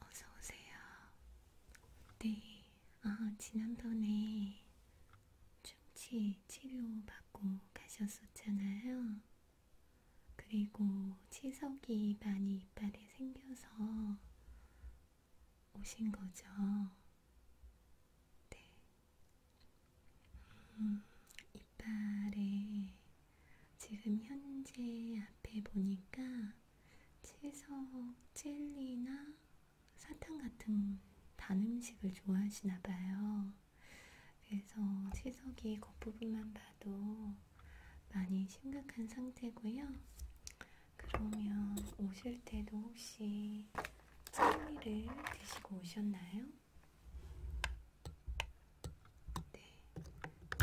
어서오세요. 네, 아, 지난번에 충치 치료 받고 가셨었잖아요. 그리고 치석이 많이 이빨에 생겨서 오신 거죠. 네. 음, 이빨에 지금 현재 앞에 보니까 채소, 젤리나 사탕 같은 단 음식을 좋아하시나 봐요. 그래서 채석이 겉부분만 봐도 많이 심각한 상태고요. 그러면 오실 때도 혹시 젤리를 드시고 오셨나요? 네,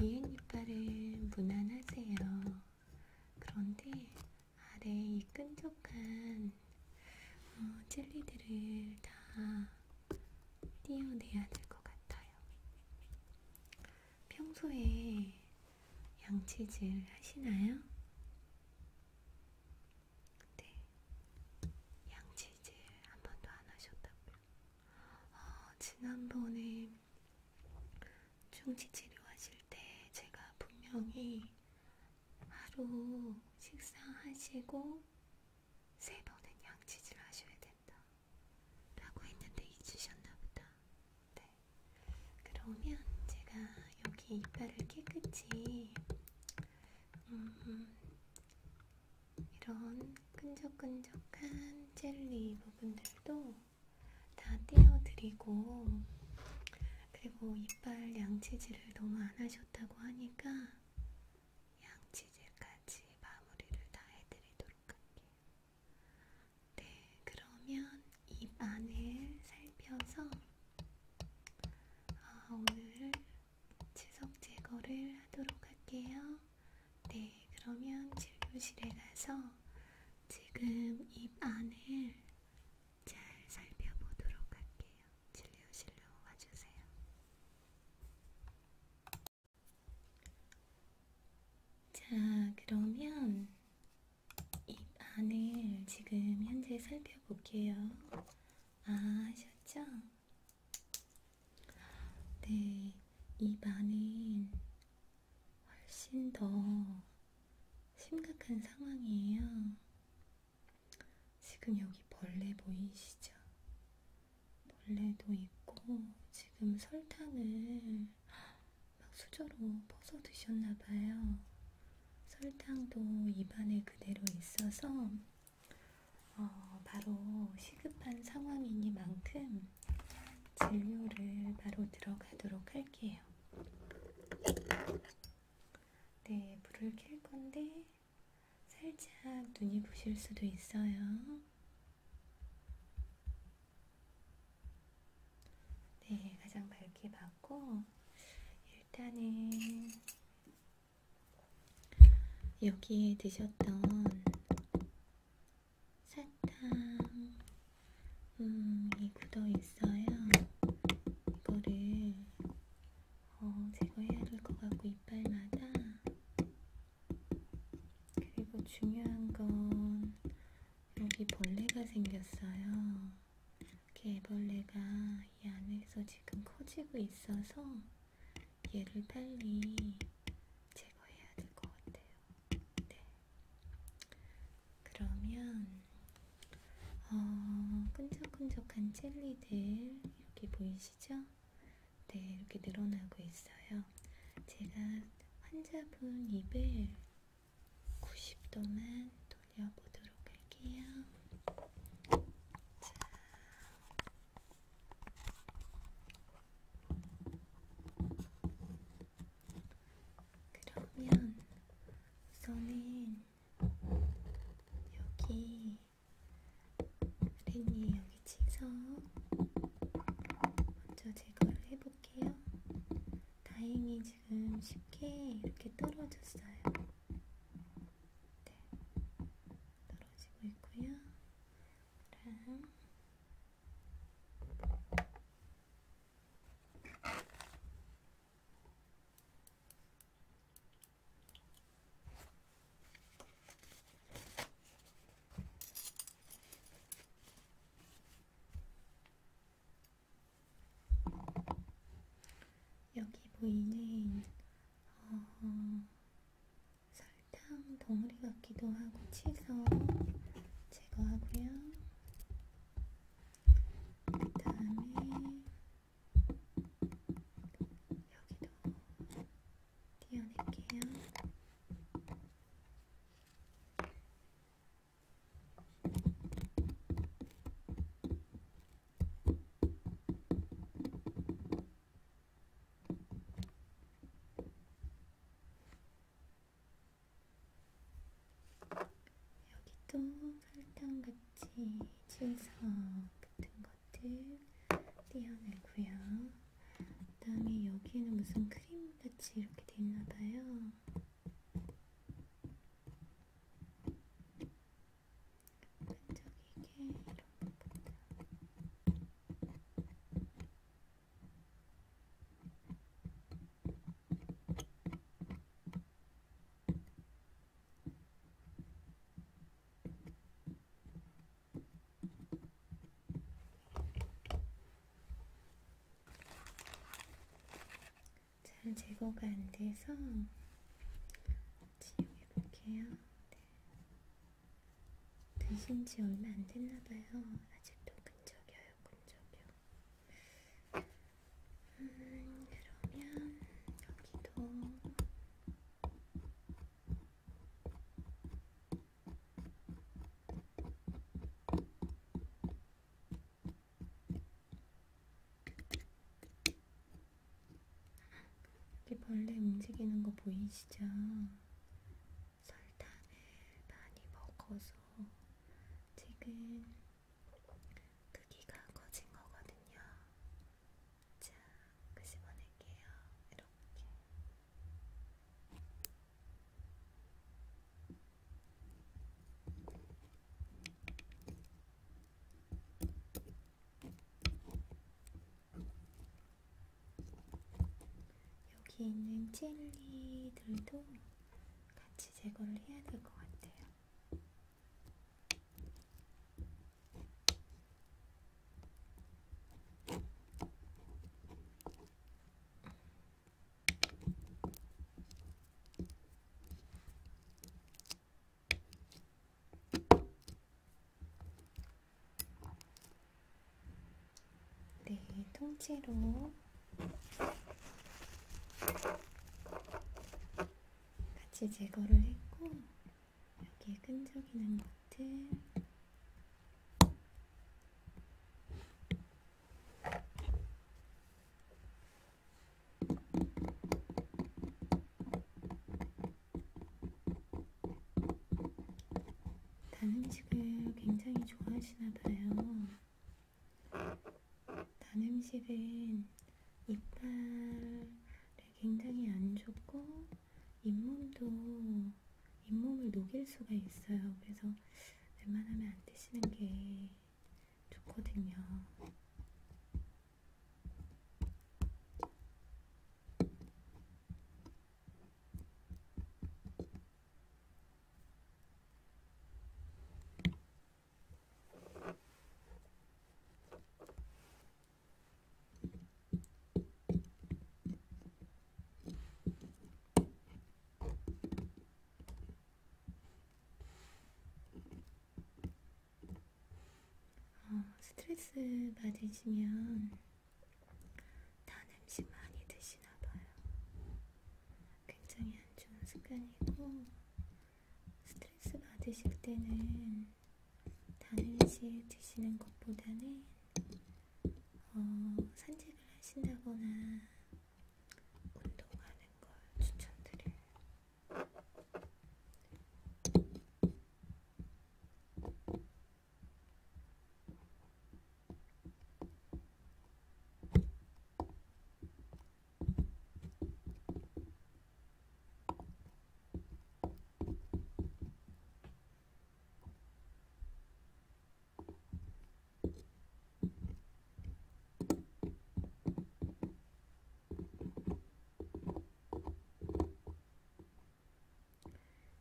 이은 이빨은 무난하세요. 그런데 아래 이 끈적한 어, 젤리들을 다 띄어내야 될 것 같아요. 평소에 양치질 하시나요? 네, 양치질 한 번도 안 하셨다고요? 어, 지난번에 충치 치료하실 때 제가 분명히 하루 식사하시고 세 번은 양치질 하셔야 된다. 라고 했는데 잊으셨나 보다. 네. 그러면 제가 여기 이빨을 깨끗이, 음, 이런 끈적끈적한 젤리 부분들도 다 떼어드리고 그리고 이빨 양치질을 너무 안 하셨다고 하니까 양치질까지 마무리를 다 해드리도록 할게요. 네, 그러면 입 안을 살펴서 아, 오늘 치석 제거를 하도록 할게요. 네, 그러면 진료실에 가서 지금 입 안을 잘 살펴보도록 할게요. 진료실로 와주세요. 자, 그러면 입 안을 지금 현재 살펴볼게요. 아, 하셨죠? 네, 입 안은 훨씬 더 심각한 상황이에요. 지금 여기 벌레 보이시죠? 벌레도 있고, 지금 설탕을 막 수저로 퍼서 드셨나봐요. 설탕도 입안에 그대로 있어서, 어, 바로 시급한 상황이니만큼 진료를 바로 들어가도록 할게요. 네, 불을 켤 건데 살짝 눈이 부실 수도 있어요. 네, 가장 밝게 봤고 일단은 여기에 드셨던 사탕, 음, 이 굳어 있어요. 이거를 어, 제거해야 될 것 같고 이빨마다. 그리고 중요한 건 여기 벌레가 생겼어요. 개벌레가 이 안에서 지금 커지고 있어서 얘를 빨리 제거해야 될 것 같아요. 네. 그러면 어, 끈적끈적한 젤리들 여기 보이시죠? 네, 이렇게 늘어나고 있어요. 제가 환자분 입을 90도만 돌려보도록 할게요. 자. 그러면 우선은 여기 렌이 여기 치석 먼저 제거를 해볼게요. 다행히 지금 쉽게 이렇게 떨어졌어요. 네, 떨어지고 있고요. 그럼 여기 보이는 어, 설탕 덩어리 같기도 하고 치즈 제거하고요. 그다음에 여기도 띄어낼게요. 이렇게 여기도 설탕같이 질석 붙은 것들 떼어내고요. 그 다음에 여기에는 무슨 크림같이 이렇게 돼있나봐요. 끈적이게 이런 부분들 잘 제거가 안 돼서 치용해 볼게요. 네. 드신 지 얼마 안 됐나 봐요. 아직도 끈적여요. 근접이요. 음, 그러면 여기도 이 벌레 움직이는 거 보이시죠? 설탕을 많이 먹어서 지금 크기가 커진 거거든요. 자, 끄집어낼게요. 이렇게. 여기 있는 젤리들도 같이 제거를 해야 될 것 같아요. 네, 통째로 같이 제거를 했고 여기에 끈적이는 것들 단 음식을 굉장히 좋아하시나 봐요. 단 음식은 이빨에 굉장히 안 좋고 잇몸도 잇몸을 녹일 수가 있어요. 그래서 웬만하면 안 드시는 게 좋거든요. 어, 스트레스 받으시면 단 음식 많이 드시나봐요. 굉장히 안 좋은 습관이고 스트레스 받으실 때는 단음식 드시는 것보다는 어, 산책을 하신다거나 운동하는 걸 추천드려요.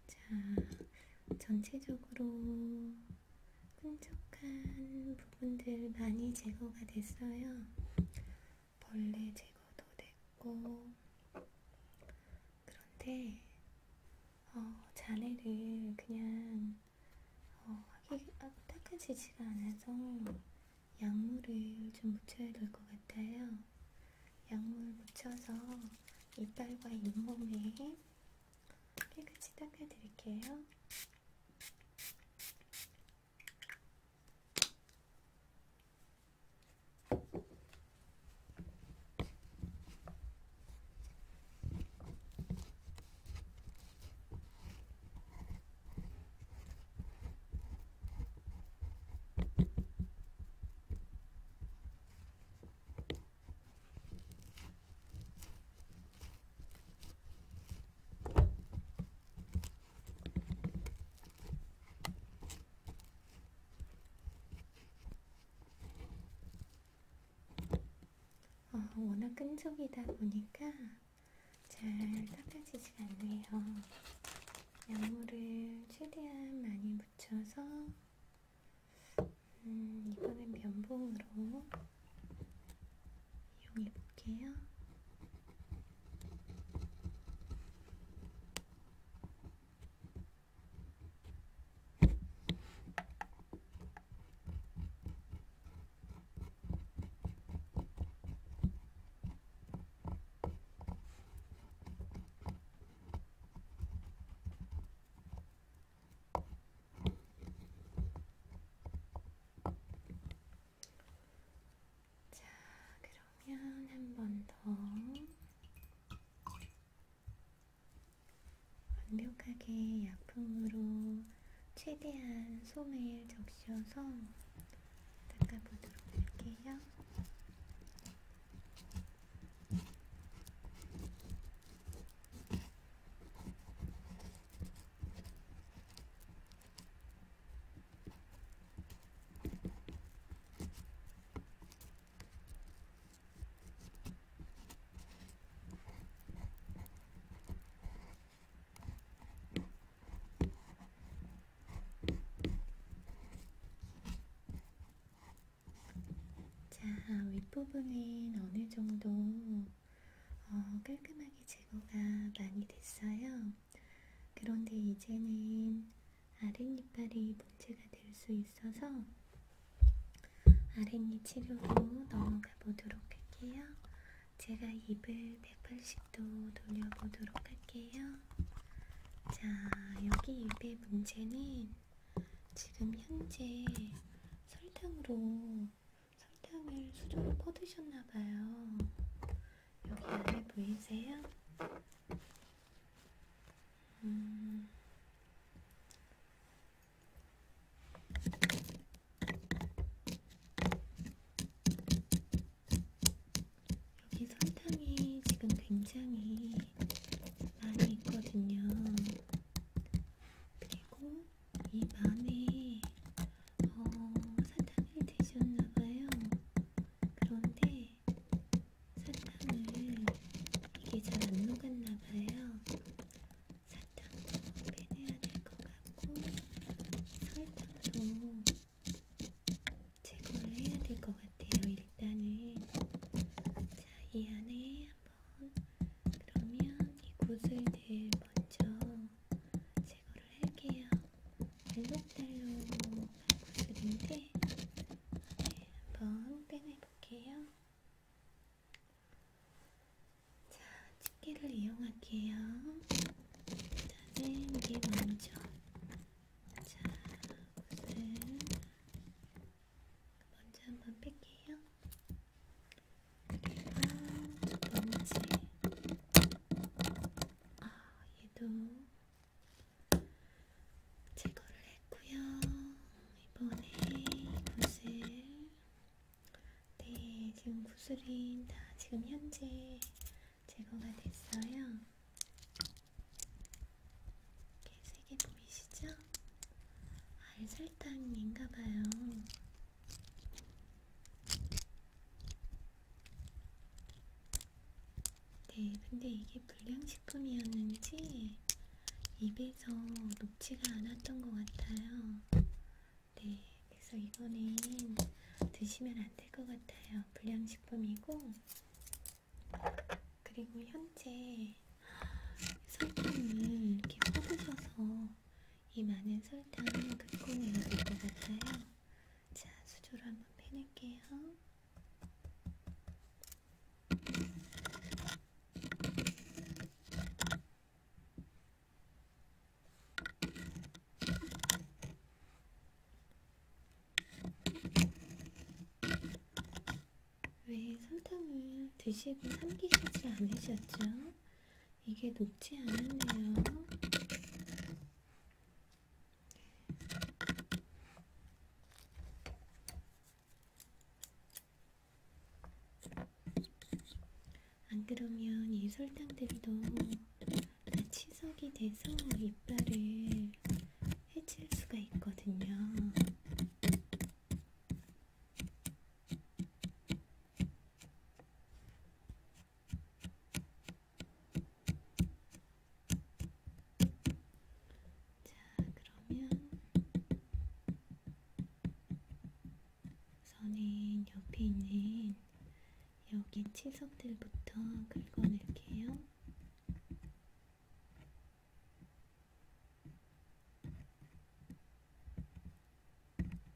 자, 전체적으로 끈적한 부분들 많이 제거가 됐어요. 벌레 제거도 됐고, 그런데 어, 자네를 그냥 어, 하기가 닦아지지가 않아서 약물을 좀 묻혀야 될 것 같아요. 약물 묻혀서 이빨과 잇몸에 깨끗이 닦아드릴게요. 어, 워낙 끈적이다 보니까 잘 닦아지지가 않네요. 약물을 최대한 많이 묻혀서 음, 이번엔 면봉으로 이용해 볼게요. 자, 그러면 한 번 더 완벽하게 약품으로 최대한 솜을 적셔서 닦아보도록 할게요. 자, 자, 윗부분은 어느 정도 어, 깔끔하게 제거가 많이 됐어요. 그런데 이제는 아랫니빨이 문제가 될 수 있어서 아랫니 치료로 넘어가 보도록 할게요. 제가 입을 180도 돌려보도록 할게요. 자, 여기 입의 문제는 지금 현재 설탕으로 상담을 수저로 퍼드셨나봐요. 여기 안에 보이세요? 음. 여기 설탕이 지금 굉장히 많이 있거든요. 그리고 입안에 어, 사탕을 드셨나봐요. 그런데 사탕을 이게 잘 안 녹았나봐요. 사탕도 빼내야 될 것 같고 설탕도 제거를 해야 될 것 같아요. 일단은 자, 이 안에 한번 그러면 이 구슬들 먼저 제거를 할게요. 멜로텔로 구슬인데 네, 한번 빼내볼게요. 자, 집게를 이용할게요. 일단은 이게 먼저 자, 구슬 먼저 한번 뺄게요. 그리고 두 번째 아 얘도 제거를 했고요 이번에 구슬 네 지금 구슬이 다 지금 현재 제거가 됐어요 이렇게 세개 보이시죠? 알설탕인가봐요 네, 근데 이게 불량식품이었는지 입에서 녹지가 않았던 것 같아요. 네, 그래서 이거는 드시면 안 될 것 같아요. 불량식품이고, 그리고 현재 설탕을 이렇게 퍼부셔서 이 많은 설탕은 긋고 내려질 것 같아요. 자, 수저로 한번 빼낼게요. 왜 설탕을 드시고 삼기시지 않으셨죠? 이게 녹지 않았네요. 안 그러면 이 설탕들이 너무 다 치석이 돼서 이빨을 해칠 수가 있거든요. 자, 그러면 선인 옆에 있는 여기 치석들부터 긁어낼게요. 자,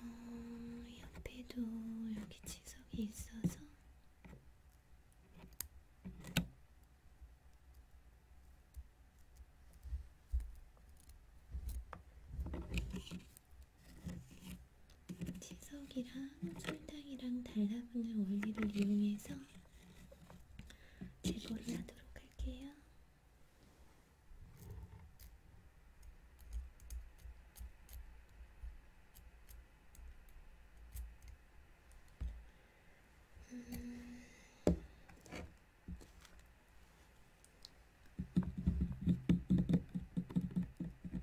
어, 옆에도 여기 지석이 있어서 치석이랑 설탕이랑 달라붙는 원리를 이용해서 제거를 하도록 할게요. 음...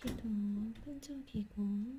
여기도 끈적이고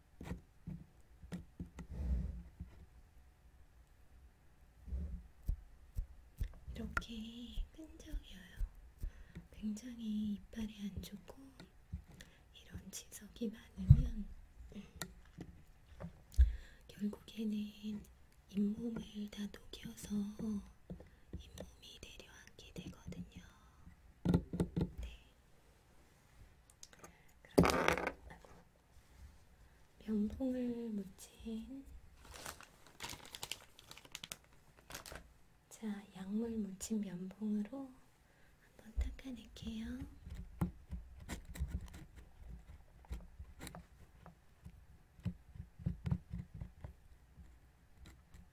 이렇게 끈적여요. 굉장히 이빨이 안 좋고 이런 지석이 많으면 결국에는 잇몸을 다 녹여서 잇몸이 내려앉게 되거든요. 네. 그리고 면봉을 묻힌 자 약물 묻힌 면봉으로 한번 닦아낼게요. 자,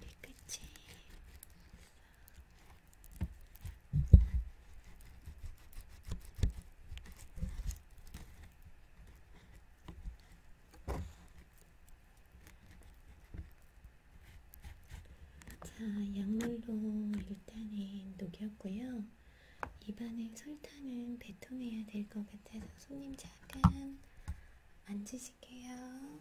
이 끝이 자, 약물로 일단은 녹였고요. 입안에 설탕은 배통해야 될 것 같아서 손님 작은 만지실게요.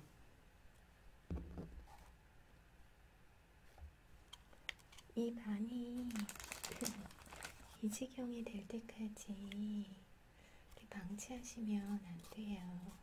이 반이 이 지경이 될 때까지 방치하시면 안 돼요.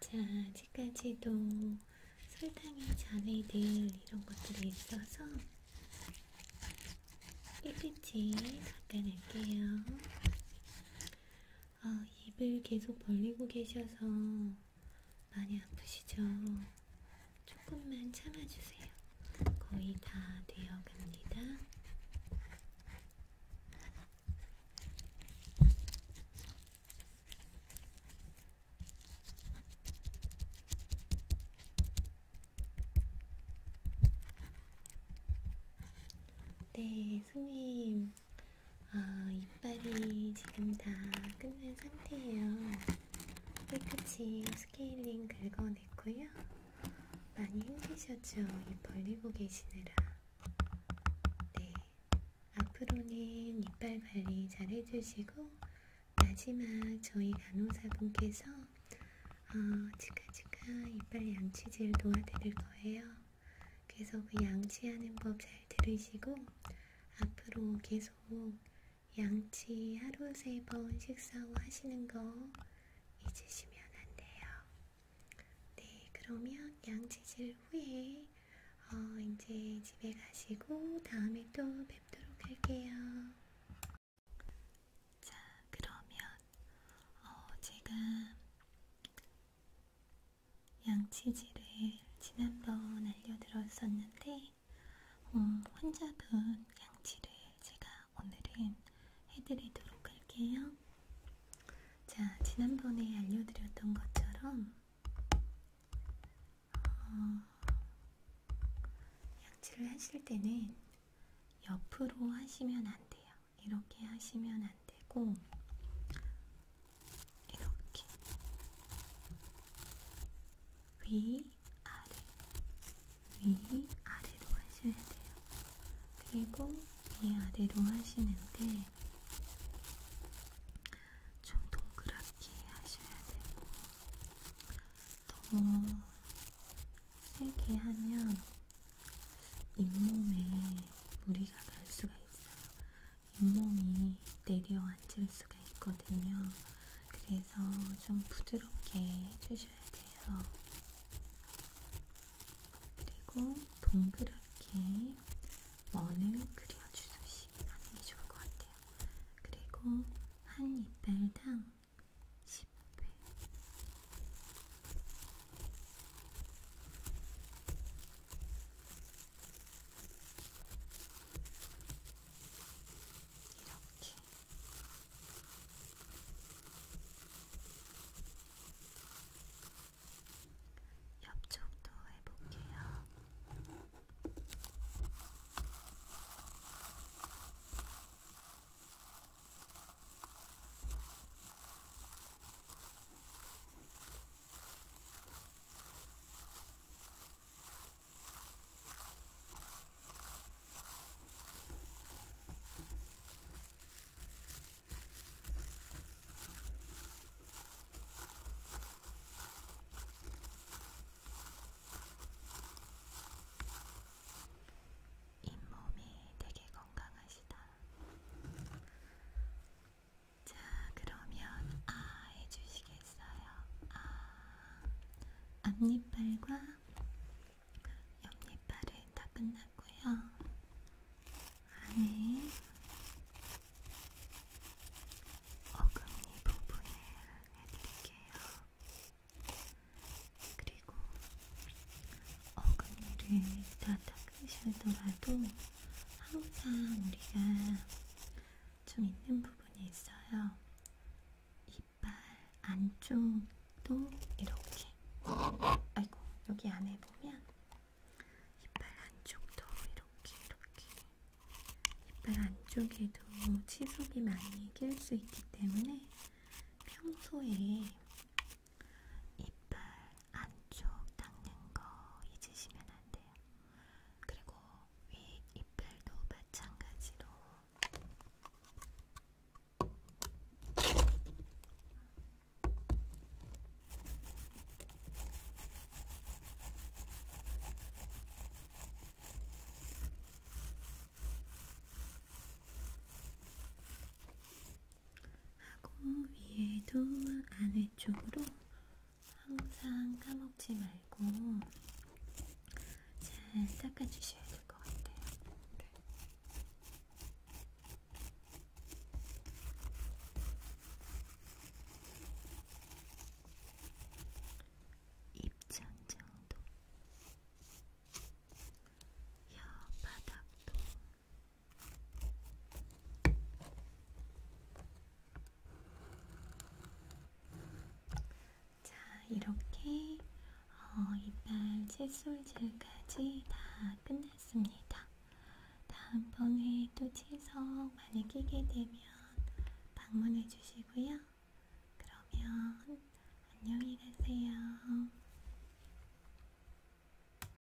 자, 아직까지도 설탕이 잔에들 이런 것들이 있어서 깨끗이 닦아낼게요. 아, 입을 계속 벌리고 계셔서 많이 아프시죠? 조금만 참아주세요. 거의 다 되어갑니다. 네, 승님 어, 이빨이 지금 다 끝난 상태예요. 깨끗이 스케일링 긁어냈고요. 많이 힘드셨죠? 이 벌리고 계시느라. 네. 앞으로는 이빨 관리 잘 해주시고, 마지막 저희 간호사분께서 어, 치카치카 이빨 양치질 도와드릴 거예요. 그래서 그 양치하는 법 잘 들으시고 앞으로 계속 양치 하루 세 번 식사 후 하시는 거 잊으시면 안 돼요. 네, 그러면 양치질 후에 어, 이제 집에 가시고 다음에 또 뵙도록 할게요. 자, 그러면 어, 제가 양치질을 지난번 알려드렸었는데 음, 어, 환자분 양치를 제가 오늘은 해드리도록 할게요. 자, 지난번에 알려드렸던 것처럼 어, 양치를 하실 때는 옆으로 하시면 안 돼요. 이렇게 하시면 안 되고, 이렇게 위, 아래, 위, 아래로 하셔야 돼요. 그리고 위, 아래로 하시는데, 좀 동그랗게 하셔야 되고, 너무 세게 하면 잇몸에 무리가 갈 수가 있어요. 잇몸이 내려앉을 수가 있거든요. 그래서 좀 부드럽게 해주셔야 돼요. 그리고 동그랗게 원을 그려주듯이 하는 게 좋을 것 같아요. 그리고 한 이빨당 10회 이렇게 옆쪽도 해볼게요. 이렇게 잇몸이 되게 건강하시다. 자, 그러면 아 해주시겠어요? 아, 앞니빨과 옆니빨은 다 끝났고요. 안에 어금니 부분을 해드릴게요. 그리고 어금니를 다 닦으시더라도 항상 우리가 좀 있는 부분이 있어요. 이빨 안쪽도 이렇게. 아이고, 여기 안에 보면 이빨 안쪽도 이렇게, 이렇게. 이빨 안쪽에도 치석이 많이 낄 수 있기 때문에 평소에 이빨 안쪽 닦는 거 잊으시면 안 돼요. 그리고 위 이빨도 마찬가지로 하고 위에도 안에 쪽으로 항상 까먹지 말고 잘 닦아주셔야 될 것 같아요. 네. 입천 정도, 혀 바닥도. 자, 이렇게 어, 이빨 칫솔질까지 다 끝났습니다. 다음번에 또 치석 많이 끼게 되면 방문해 주시고요. 그러면 안녕히 가세요.